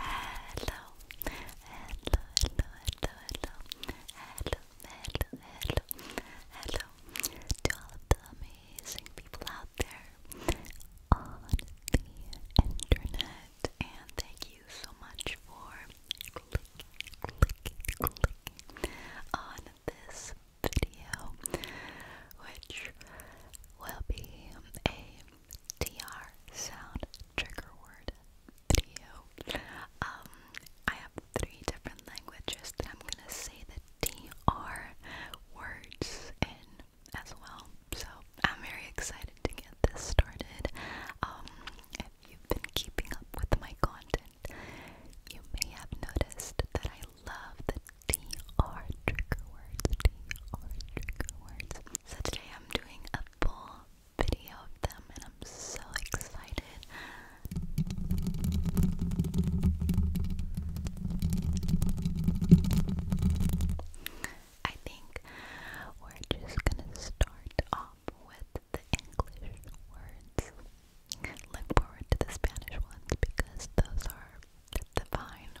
Hello, hello, hello, hello, hello, hello, hello, hello, to all the amazing people out there on the internet, and thank you so much for clicking on this video, which will be a TR sound trigger word video. Um, I have three different languages that I'm gonna say the TR words in as well. So I'm very excited to get this started. Um, if you've been keeping up with my content, you may have noticed that I love the DR trigger words, DR trigger words. So today I'm doing a full video of them and I'm so excited. I think we're just gonna start off with the English words. Look forward to the Spanish ones because those are divine.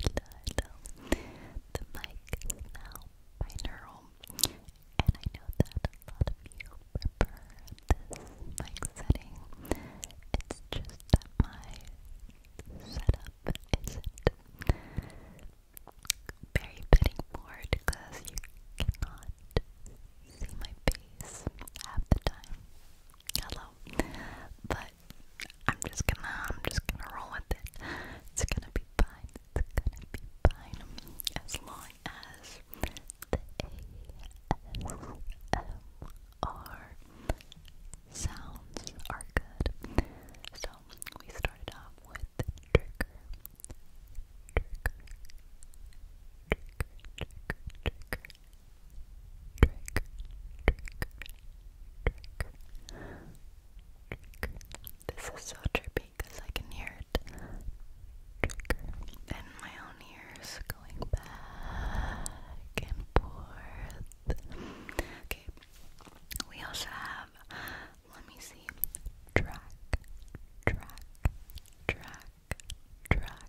hello, The mic is now binaural, and I know that a lot of you prefer this mic setting. It's just my setup isn't very fitting because you cannot see my face half the time hello. But I'm just gonna I'm just gonna roll with it. It's gonna be fine. It's gonna be fine. As long as the ASMR sounds are good. So we started off with trigger, trigger, trigger, trigger, trigger, trigger, This is so trippy because I can hear it. Trigger. my own ears going back and forth. Okay. We also have, let me see, track, track, track, track,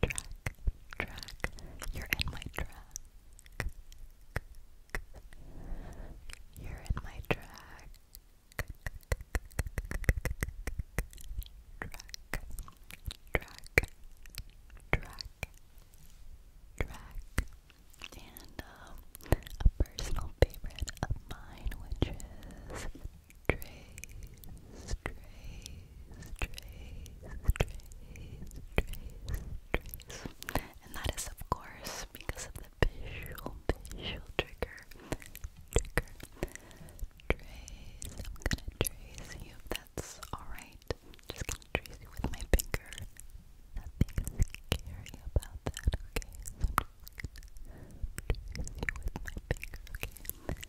track, track. You're in my track. You're in my track. Track, track, track, track. And a personal favorite of mine, which is trace, trace, trace, trace, trace, trace. And that is, of course, because of the visual, visual trigger. Trigger. Trace. I'm gonna trace you. That's alright. Just gonna trace you with my finger. Nothing scary about that, okay? just gonna trace you with my finger, okay?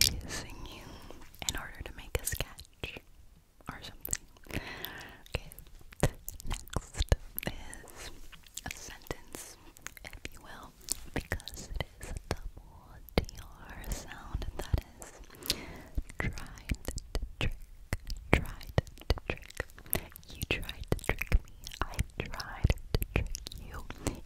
tracing you in order to make a sketch or something. next is a sentence, if you will, because it is a double DR sound, that is tried to trick, tried to trick. You tried to trick me, I tried to trick you.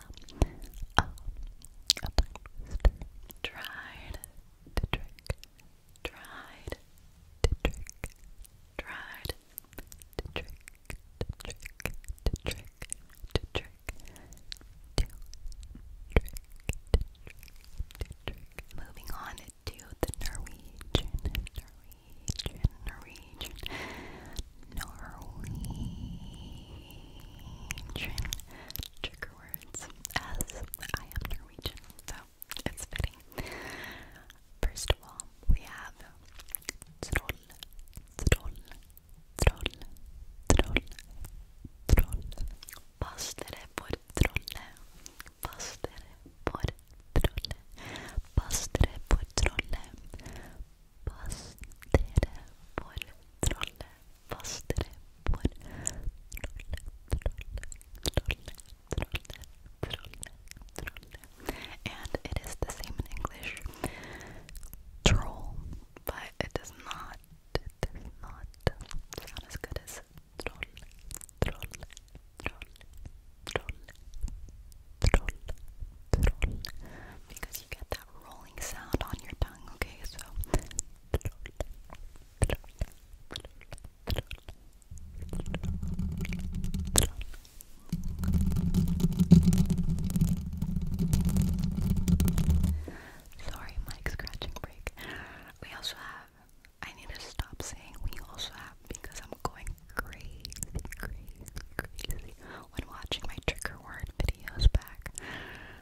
become um, Tried to trick, tried to trick, tried to trick, to trick, to trick, to trick, to trick, to trick, to trick. Moving on to the Norwegian, Norwegian, Norwegian, Norwegian trigger words as I am Norwegian, so it's fitting. First of all, we have troll, troll, troll, troll, troll. Pastere for trolle, pastere for trolle, pastere for trolle. Fastere And it is the same in English. Troll, but it does not, it does not sound as good as troll, troll, troll, troll, troll, troll, because you get that roll sound on your tongue, Sorry, mic scratching break. We also have I need to stop saying we also have because I'm going crazy, crazy, crazy when watching my trigger word videos back.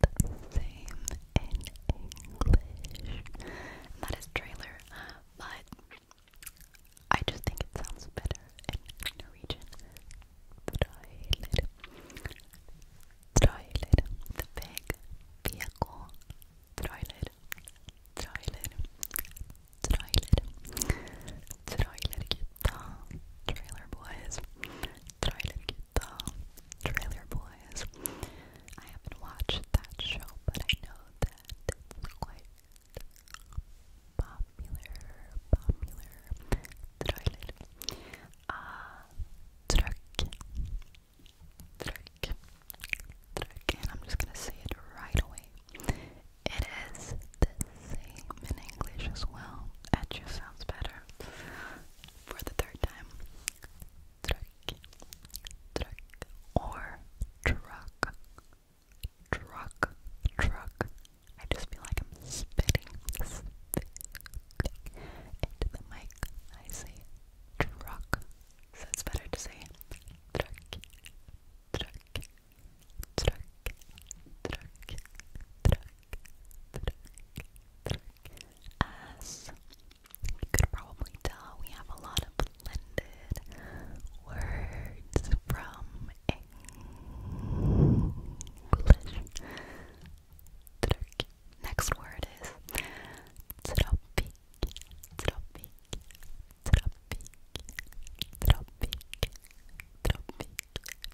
the same in English. that is trailer, but I just think it sounds better in Norwegian. Trailer. Trailer. The big vehicle. Trailer. Trailer. Trailer. Trailer. Trailer boys. Trying to get the Trailer Boys. I haven't watched that show, but I know that it's quite popular, popular. Trailer. Uh, Truck. Truck. Truck. And I'm just gonna say it right away. It is the same in English as well. It just sounds better. For the third time truck, truck, or truck, truck, truck. I just feel like I'm spitting, into the mic. I say truck, so it's better to say truck, truck, truck, truck, truck, truck, truck. As you could probably tell we have a lot of blended words from English Next word is tropic, tropic, tropic, tropic, tropic,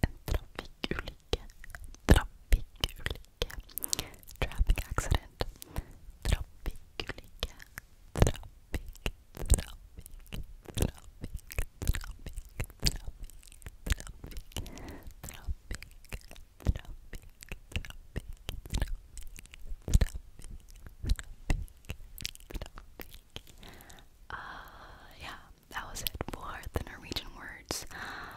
and tropic ulike, traffic accident trafikulycka trafik trafik trafik trafik trafik trafik trafik uh yeah that was it for the Norwegian words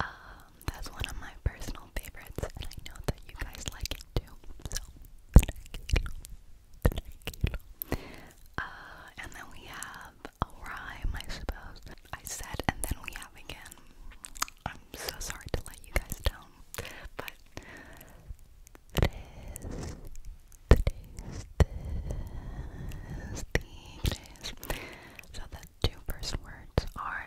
um, that's one of my personal favorites, and I know that you guys like it too. So and then we have a rhyme, I suppose. I said, and then we have again. I'm so sorry to let you guys down, but tres, tres, tres, tigres. So the two first words are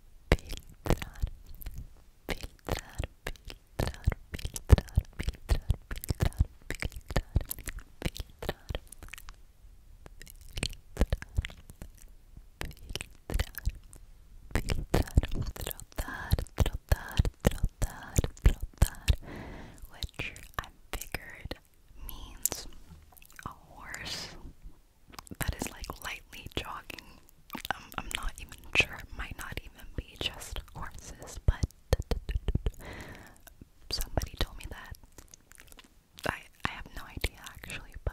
filtrar, filtrar, filtrar, filtrar, filtrar, filtrar, filtrar, filtrar, filtrar, filtrar, trotar, trotar, trotar, trotar, which I figured means a horse that is like lightly jogging. Um, I'm not even sure. It might not even be just horses, but somebody told me that. I I have no idea actually, but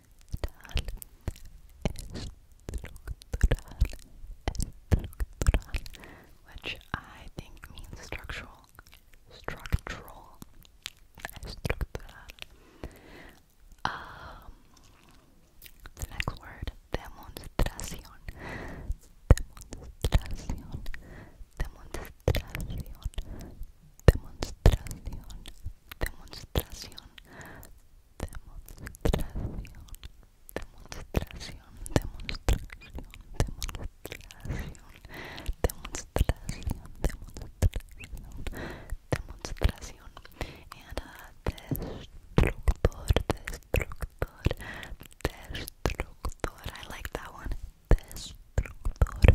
estructural, estructural, which I think means structural, structural, estructural. Um, next word, demonstración, demonstración, demonstración, Demonstration, demonstración, demonstración, demonstración, demonstración, demonstración, demonstración, demonstración. Demonstración destructor, destructor, destructor. I like that one. Destructor,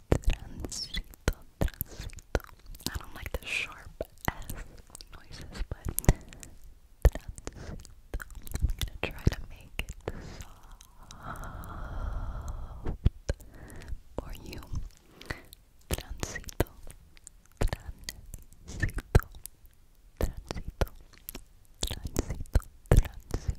Transito, transito. I don't like the sharp S noises, but transito. I'm gonna try to make it soft for you. Transito, transito, transito, transito, transito.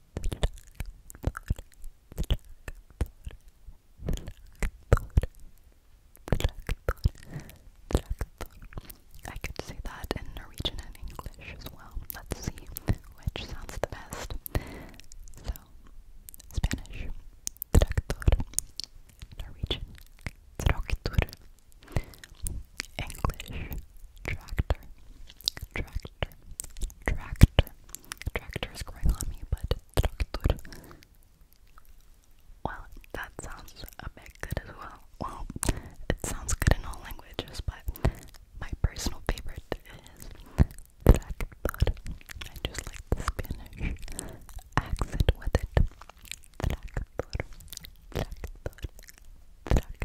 I could say that in Norwegian and English as well. Let's see which sounds the best. So, Spanish, tractor, Norwegian, tractor, English, tractor, tractor, tractor, tractor, is growing on me, but tractor. Well, that sounds a bit good as well. Well, it sounds good in all languages, but my personal favorite is tractor. I just like the Spanish accent with it. Tractor, tractor, tractor,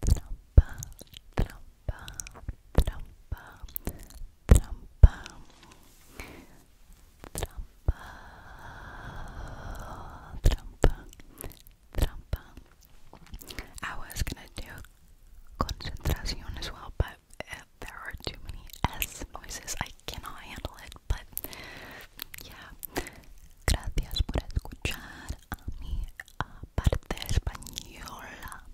trampa, trampa, trampa, trampa, trampa, trampa, trampa. I was gonna do concentración as well, but eh, there are too many S noises. I cannot handle it, but yeah. Gracias por escuchar a mi española.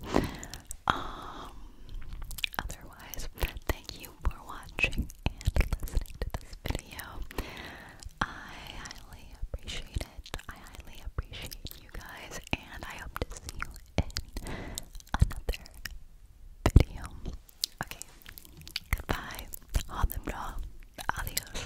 otherwise, thank you for watching and listening to this video. I highly appreciate it. I highly appreciate you guys, and I hope to see you in another video. Okay, goodbye. Adios.